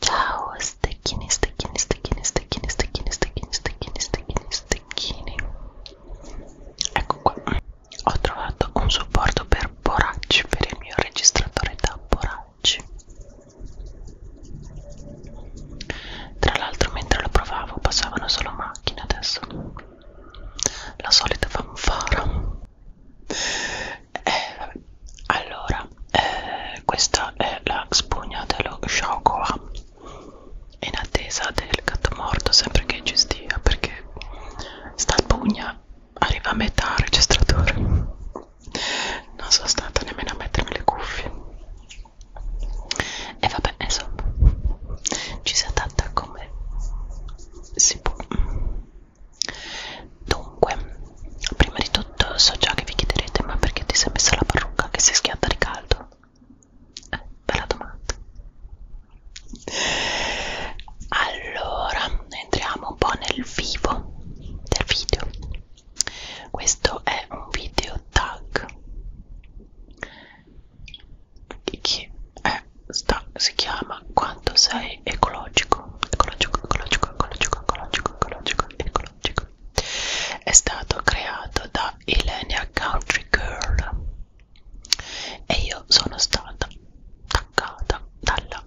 Ciao stecchini, stecchini, stecchini, stecchini, stecchini, stecchini, stecchini, stecchini, stecchini. Ecco qua, ho trovato un supporto per borracci per il mio registratore da borracci. Tra l'altro mentre lo provavo passavano solo macchine adesso la solita fanfara eh, vabbè. allora eh, questa è la spugna dello Shaukoa in attesa del gatto morto sempre che ci stia perché sta spugna arriva a metà registratore non sono stata nemmeno a mettermi le cuffie e vabbè insomma ci si attacca tanta come si può dunque prima di tutto so già che vi chiederete ma perché ti sei messa la parrucca che si schiatta di caldo eh, bella domanda allora entriamo un po' nel vivo del video questo è un video tag che eh, è, sta, si chiama Quanto sei ecologico, ecologico, ecologico, ecologico, ecologico, ecologico, ecologico. È stato creato da Elenia Country Girl e io sono stata attaccata dalla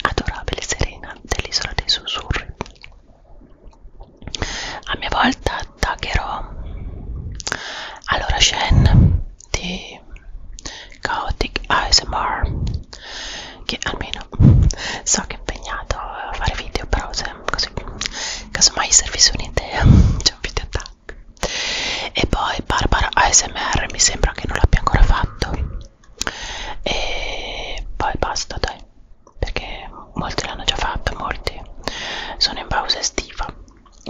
adorabile Serena dell'isola dei sussurri a mia volta attaccherò allora Shen di Chaotic ASMR che almeno so che è impegnato a fare video però se così casomai servisse un'idea c'è un video attack e poi Barbara ASMR mi sembra che non l'abbia ancora fatto e poi basta dai perché molti l'hanno già fatto, molti sono in pausa estiva,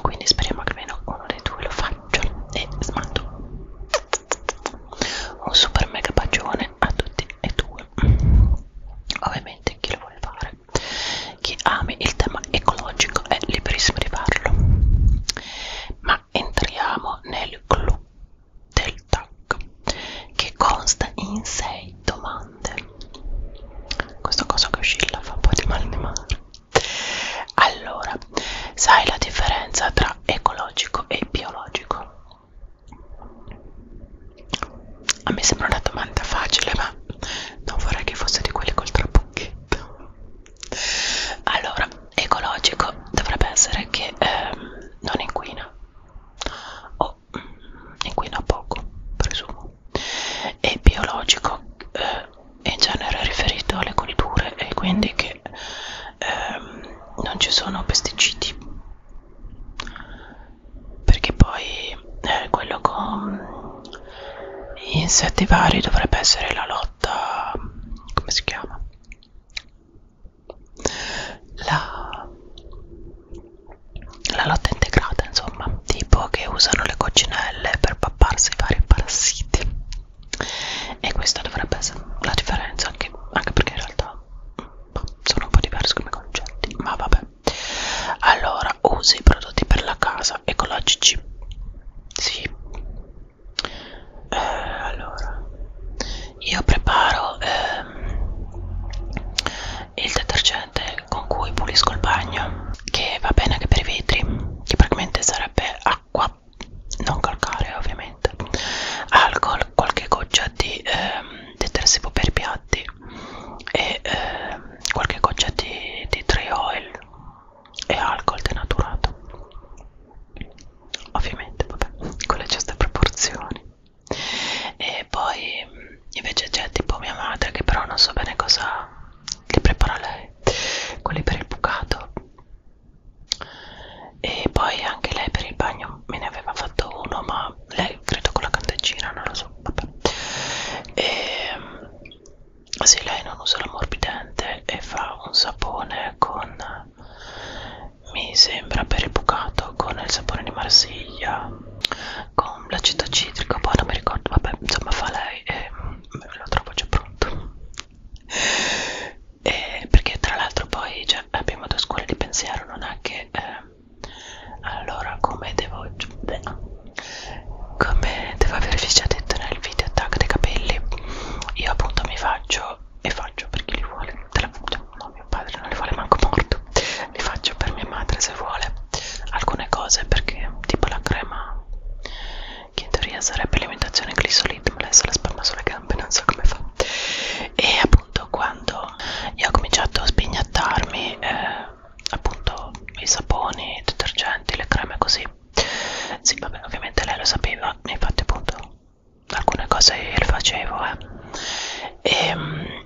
quindi speriamo che almeno uno dei due lo faccia e smando un super mega bacione a tutti e due ovviamente chi lo vuole fare chi ami il tema ecologico è liberissimo di farlo ma entriamo nel clou del TAC che consta in 6 domande grande questa cosa che oscilla fa un po' di mal di mare allora sai la differenza tra ecologico e biologico a me sembra una domanda facile ma non vorrei che fosse di quelli col trabocchetto allora ecologico dovrebbe essere che ehm, non inquina o poco inquina poco presumo e biologico eh, in genere riferito alle colture e quindi che ehm, non ci sono pesticidi perché poi eh, quello con gli insetti vari dovrebbe essere la lotta come si chiama la la lotta integrata insomma tipo che usano le coccinelle per papparsi vari parassiti e questa dovrebbe essere la differenza anche, anche perché in realtà mm, boh, sono un po' diversi come concetti ma vabbè allora usi i prodotti per la casa ecologici sì eh, allora io preparo ehm, il detergente con cui pulisco il bagno che va bene anche per i vetri che praticamente sarebbe acqua non calcare ovviamente alcol qualche goccia di eh, detersivo per piatti e eh, qualche goccia di, di tree oil e alcol denaturato ovviamente vabbè con le giuste proporzioni e poi invece c'è tipo mia madre che però non so bene cosa li prepara lei quelli per il bucato e poi anche lei per il bagno me ne aveva fatto uno ma lei credo con la candeggina non lo so vabbè e ehm, se lei non usa l'ammorbidente e fa un sapone con mi sembra per il bucato con il sapone di Marsiglia con no, l'aceto citrico, boh, poi non mi ricordo, vabbè, insomma fa lei e mm, lo trovo già pronto. E perché tra l'altro poi cioè, abbiamo due scuole di pensiero, non è che... Eh, allora, come devo... Beh, come devo avervi già detto nel video tag dei capelli, io appunto mi faccio e faccio per chi li vuole, te la, no, mio padre non li vuole manco morto li faccio per mia madre se vuole alcune cose perché tipo la crema che in teoria sarebbe alimentazione glisolid ma lei se la spalma sulle gambe non so come fa e appunto quando io ho cominciato a spignattarmi eh, appunto i saponi, i detergenti, le creme così sì vabbè ovviamente lei lo sapeva infatti appunto alcune cose le facevo eh. e ehm,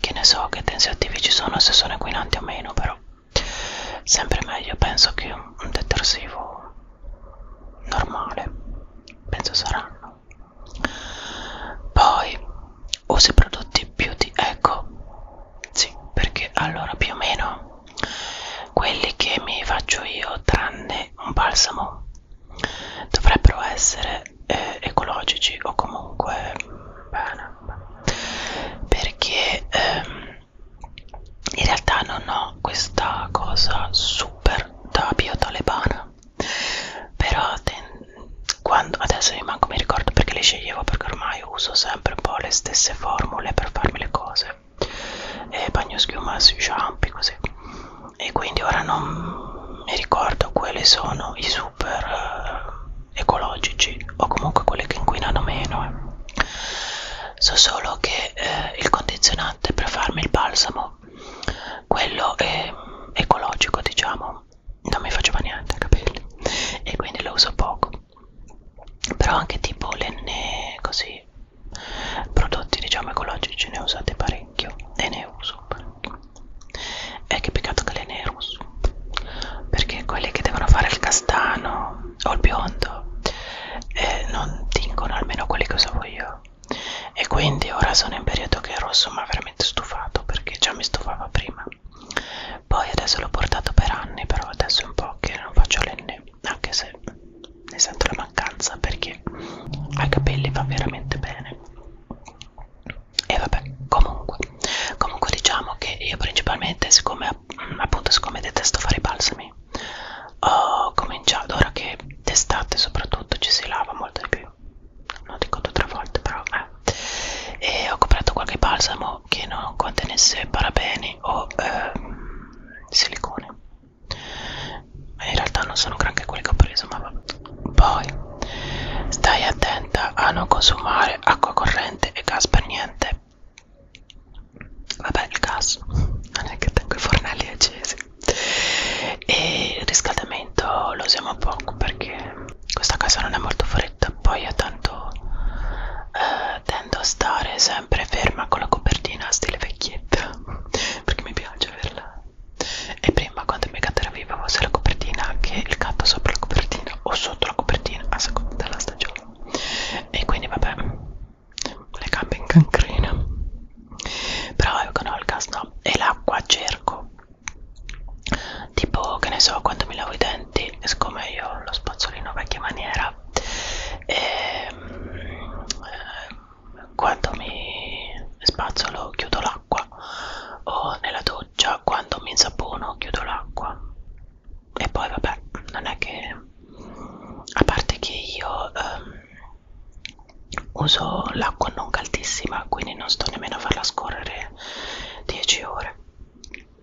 che ne so che tensioattivi ci sono se sono inquinanti o meno però sempre meglio penso che un detersivo normale penso saranno poi usi prodotti beauty ecco sì perché allora più o meno quelli che mi faccio io tranne un balsamo dovrebbero essere eh, ecologici o comunque bene, perché ehm, in realtà non ho questa cosa super da biotalebana però quando, adesso io manco mi ricordo perché le sceglievo perché ormai uso sempre un po' le stesse formule per farmi le cose e bagno schiuma sui ciampi così e quindi ora non mi ricordo quali sono i super ecologici o comunque quelli che inquinano meno eh. so solo che eh, il condizionante per farmi il balsamo quello è ecologico diciamo non mi faceva niente ai capelli e quindi lo uso poco però anche tipo lenne così prodotti diciamo ecologici ne usate parecchio e ne uso parecchio eh, che peccato che lei ne è rosso perché quelli che devono fare il castano o il biondo eh, non tingono almeno quelli che usavo io e quindi ora sono in periodo che il rosso mi ha veramente stufato perché già mi stufava prima poi adesso l'ho portato per anni però adesso è un po' che non faccio l'enne anche se ne sento la mancanza perché ai capelli va veramente bene e vabbè comunque comunque diciamo che io principalmente siccome mm, appunto siccome detesto fare i balsami ho cominciato ora che d'estate soprattutto ci si lava molto di più non dico due o tre volte però eh. e ho comprato qualche balsamo che non contenesse parabeni o eh, silicone in realtà non sono granché quelli che ho preso ma vabbè poi stai attenta a non consumare acqua corrente e gas per niente. Vabbè, il gas non è che tengo i fornelli accesi. E il riscaldamento lo usiamo poco perché questa casa non è molto fredda. Poi io tanto eh, tendo a stare sempre ferma con la copertina stile vecchietta perché mi piace averla e prima quando Megat era viva avevo sia la copertina anche il gatto sopra la copertina o sotto la copertina a seconda della stagione e quindi vabbè le gambe in cancrena però ecco no il gas no e l'acqua cerco tipo che ne so quando mi lavo i denti siccome io ho lo spazzolino vecchia maniera e, ehm, ehm, quando mi spazzolo chiudo l'acqua o nella doccia doccia, quando mi insapono chiudo l'acqua e poi vabbè, non è che a parte che io ehm, uso l'acqua non caldissima, quindi non sto nemmeno a farla scorrere 10 ore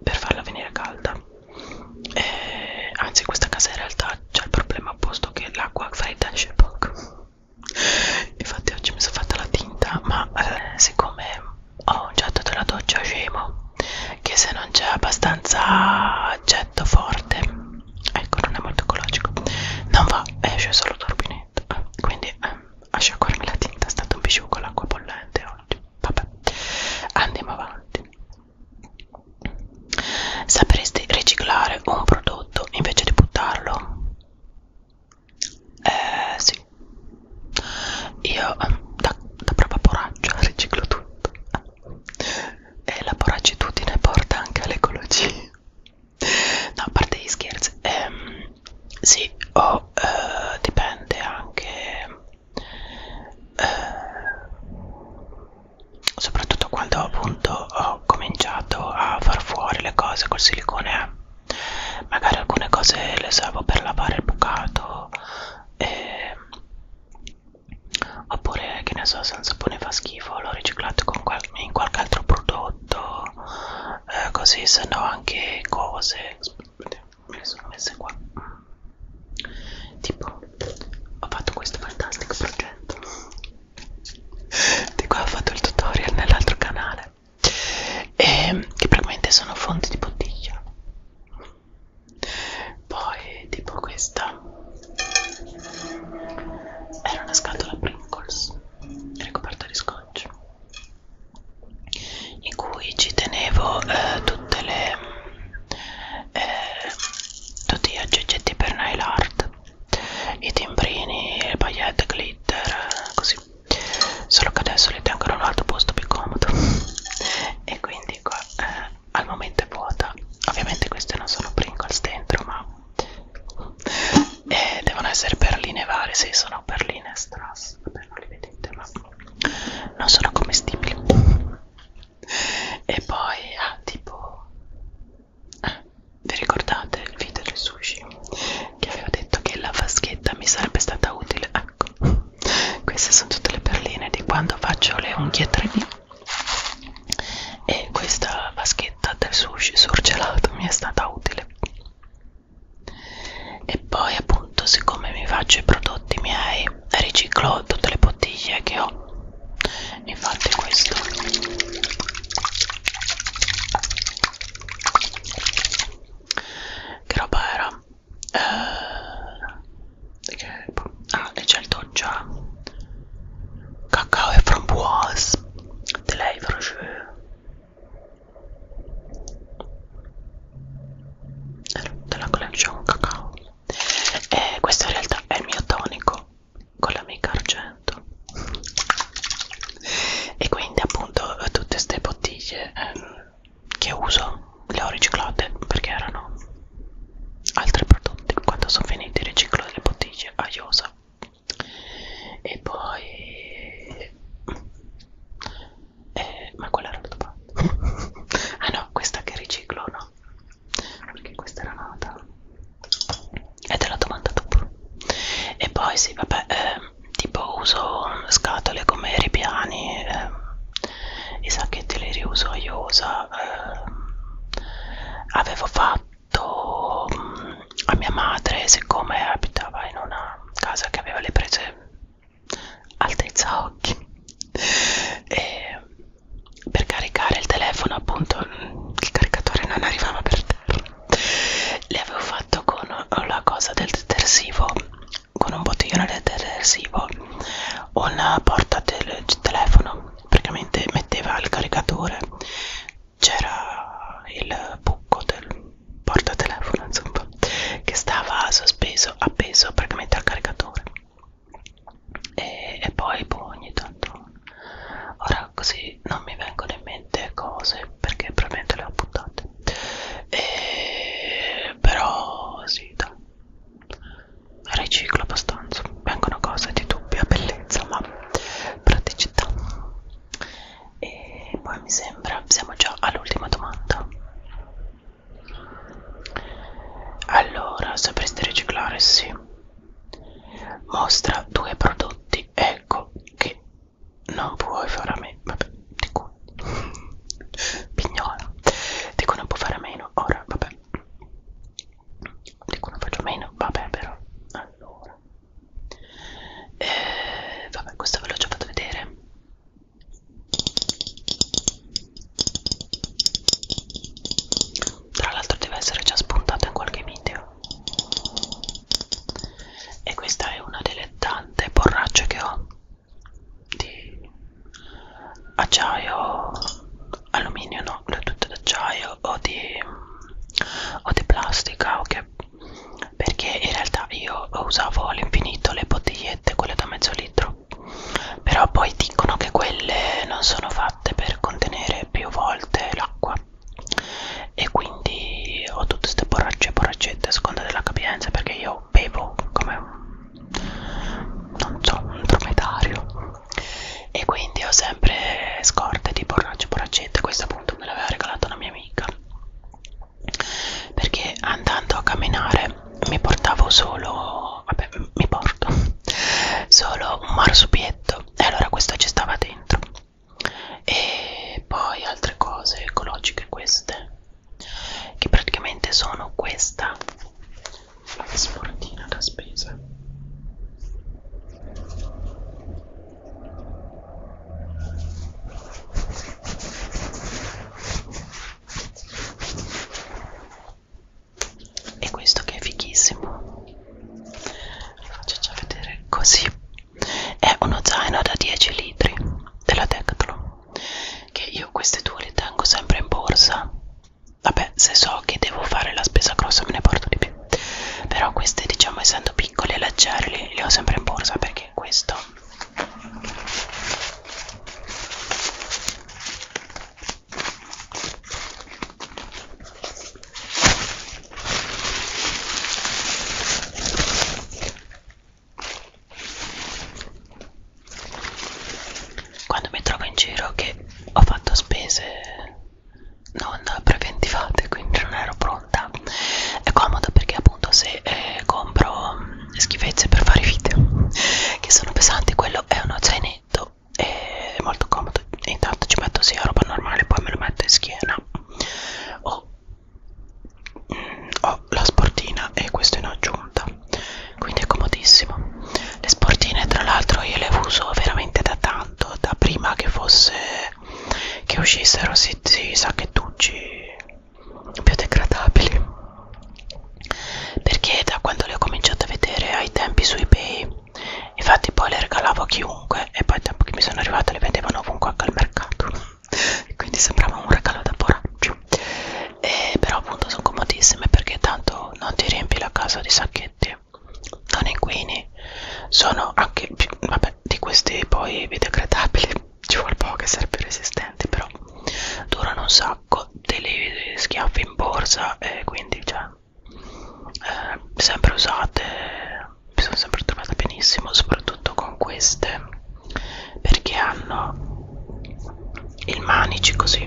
per farla venire calda. E, eh, anzi, questa casa in realtà c'è il problema opposto che l'acqua fredda esce poco infatti oggi mi sono fatta la tinta ma eh, siccome ho un getto della doccia scemo che se non c'è abbastanza getto forte ecco non è molto ecologico non va esce solo turbinetto quindi eh, asciugarmi la tinta è stato un bisciù con l'acqua bollente oggi vabbè andiamo avanti sapresti riciclare un prodotto invece di buttarlo eh sì, io um, da, da propria poraccia riciclo tutto ah. e la poracitudine porta anche all'ecologia. No, a parte gli scherzi, ehm, sì, o oh, eh, dipende anche, eh, soprattutto quando appunto ho cominciato a far fuori le cose col silicone magari alcune cose le servo per lavare il bucato e... oppure che ne so se un sapone fa schifo l'ho riciclato con qual in qualche altro prodotto eh, così se no anche cose Aspetta, me le sono messe qua tipo ho fatto questo fantastico progetto di cui ho fatto il tutorial nell'altro canale caffè e, che praticamente sono fonti di bottiglia poi tipo questa era una scatola Pringles ricoperta di scotch in cui ci tenevo eh, tutte le eh, tutti gli aggeggetti per nail art i timbrini, le pagliette, glitter, così solo che adesso li tengo in un altro posto più comodo e quindi qua eh, al momento è vuota ovviamente queste non sono Pringles dentro ma eh, devono essere perline varie sì sono perline strass vabbè non li vedete ma non sono commestibili e poi ah tipo ah, vi ricordate il video del sushi che avevo detto che la vaschetta mi sarebbe stata utile ecco queste sono tutte le perline di quando faccio le unghie 3D e questa vaschetta del sushi surgelato mi è stata utile e poi appunto siccome mi faccio i prodotti miei riciclo tutte le bottiglie che ho infatti questo che roba era? Eh, che, ah, certo già. Cacao e framboise. Te lei veloce. Della collezione diciamo, cacao. E eh, questo in realtà è il mio tonico con la mica argento tanto e quindi appunto tutte queste bottiglie ehm, che uso le ho riciclate perché erano altri prodotti quando sono finiti riciclo delle bottiglie a Iosa e poi eh, ma quella era l'altra parte ah no questa che riciclo no perché questa era nata e te la domanda dopo e poi sì vabbè eh, tipo uso scatole come ripiani eh, i sacchetti li riuso io uso eh, avevo fatto mh, mm, a mia madre siccome abitava in una casa che aveva le prese altezza occhi e per caricare il telefono appunto il caricatore non arrivava per terra le avevo fatto con la cosa del detersivo con un bottiglione del detersivo una porta del telefono praticamente metteva il caricatore c'era il buco del portatelefono insomma che stava sospeso appeso praticamente al caricatore e, e poi boh, ogni tanto ora così quindi non mi vengono in mente cose perché probabilmente le ho buttate e... però sì da. riciclo abbastanza vengono cose di dubbia bellezza ma praticità e poi mi sembra siamo già all'ultima domanda allora sapresti riciclare sì mostra due prodotti ecco che non puoi fare a meno, vabbè, di cui, pignola, di cui non puoi fare a meno, ora, vabbè, di cui non faccio a meno, vabbè, però, allora, eh, vabbè, questo ve l'ho già fatto vedere, tra l'altro deve essere già spuntato in qualche video e questa è una delle tante borracce che ho di acciaio alluminio no le tutte d'acciaio o di o di plastica ok perché in realtà io usavo all'infinito le bottigliette quelle da mezzo litro però poi dicono che quelle non sono fatte per contenere più volte l'acqua e quindi ho tutte queste borracce borraccette a seconda della capienza perché io bevo come un, non so, un dromedario e quindi ho sempre scorte di borracce borraccette questa appunto me l'aveva regalata una mia amica perché andando a camminare mi portavo solo vabbè mi porto solo un marsupietto e allora questo ci stava dentro e poi altre cose ecologiche queste che praticamente sono questa sportina da spesa e questo che è fighissimo lo faccio già vedere così è uno zaino da 10 litri della Decathlon che io queste due le tengo sempre in borsa vabbè se so che devo fare la spesa grossa me ne porto di più però queste diciamo essendo piccole e leggere le, le ho sempre in borsa perché questo quando mi trovo in giro che ho fatto spese non preventivate, quindi non ero pronta, è comodo perché appunto se eh, compro mm, schifezze per fare video che sono pesanti, quello è uno zainetto, è molto comodo. Intanto ci metto sia roba normale, poi me lo metto in schiena ho, oh. oh, ho la sportina e questo in aggiunta quindi è comodissimo le sportine tra l'altro io le uso veramente da tanto da prima che fosse che uscissero si, si sacchettuggi biodegradabili perché da quando le ho cominciate a vedere ai tempi su ebay infatti poi le regalavo a chiunque e poi dopo che mi sono arrivate le vendevano ovunque anche al mercato quindi sembrava un regalo da poraccio e però appunto sono comodissime perché tanto non ti riempi la casa di sacchetti non inquini sono anche vabbè di questi poi biodegradabili ci vuole poco essere più resistenti però durano un sacco te li schiaffi in borsa e quindi cioè eh, sempre usate mi sono sempre trovata benissimo soprattutto con queste perché hanno il manici così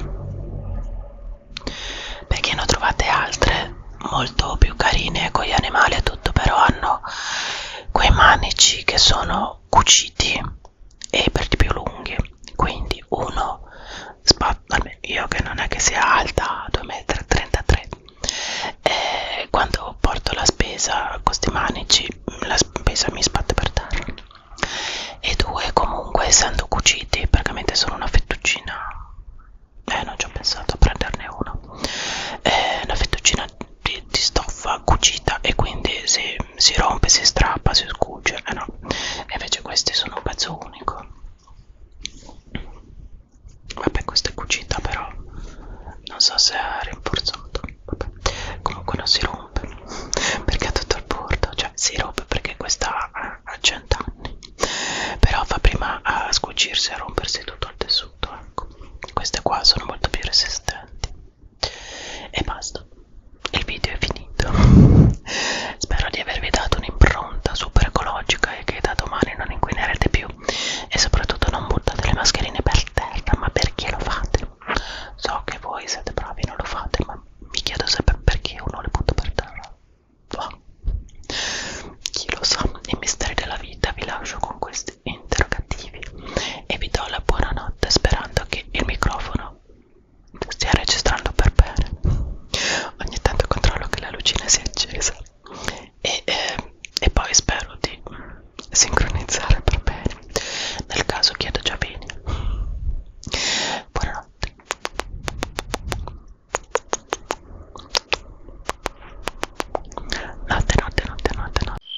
perché ne ho trovate altre molto più carine con gli animali e tutto però hanno quei manici che sono cuciti e per di più lunghi quindi uno io che non è che sia alta 2,33 m e quando porto la spesa con questi manici la spesa mi sbatte per terra e due comunque essendo cuciti praticamente sono una fettuccina eh non ci ho pensato a prenderne una è eh, una fettuccina di, di stoffa cucita e quindi si, si rompe si strappa si scuce eh no invece questi sono un pezzo unico Vabbè, questa è cucita, però non so se è rinforzato. Vabbè. Comunque non si rompe perché ha tutto il bordo, cioè si rompe perché questa ha 100 anni, però fa prima a scucirsi e a rompersi tutto il tessuto. Ecco. Queste qua sono molto più resistenti. E basta, il video è finito. Spero di avervi dato un'impronta super ecologica e che da domani non inquinerete più più e soprattutto non buttate le mascherine per terra ma perché lo fate? so che voi siete bravi e non lo fate ma mi chiedo sempre perché uno le butta per terra va boh. chi lo sa i misteri della vita vi lascio con questi interrogativi e vi do la buonanotte sperando che il microfono stia registrando per bene ogni tanto controllo che la lucina sia accesa e, eh, e poi spero di sincronizzare per bene nel caso chiedo già bene buonanotte notte notte notte notte notte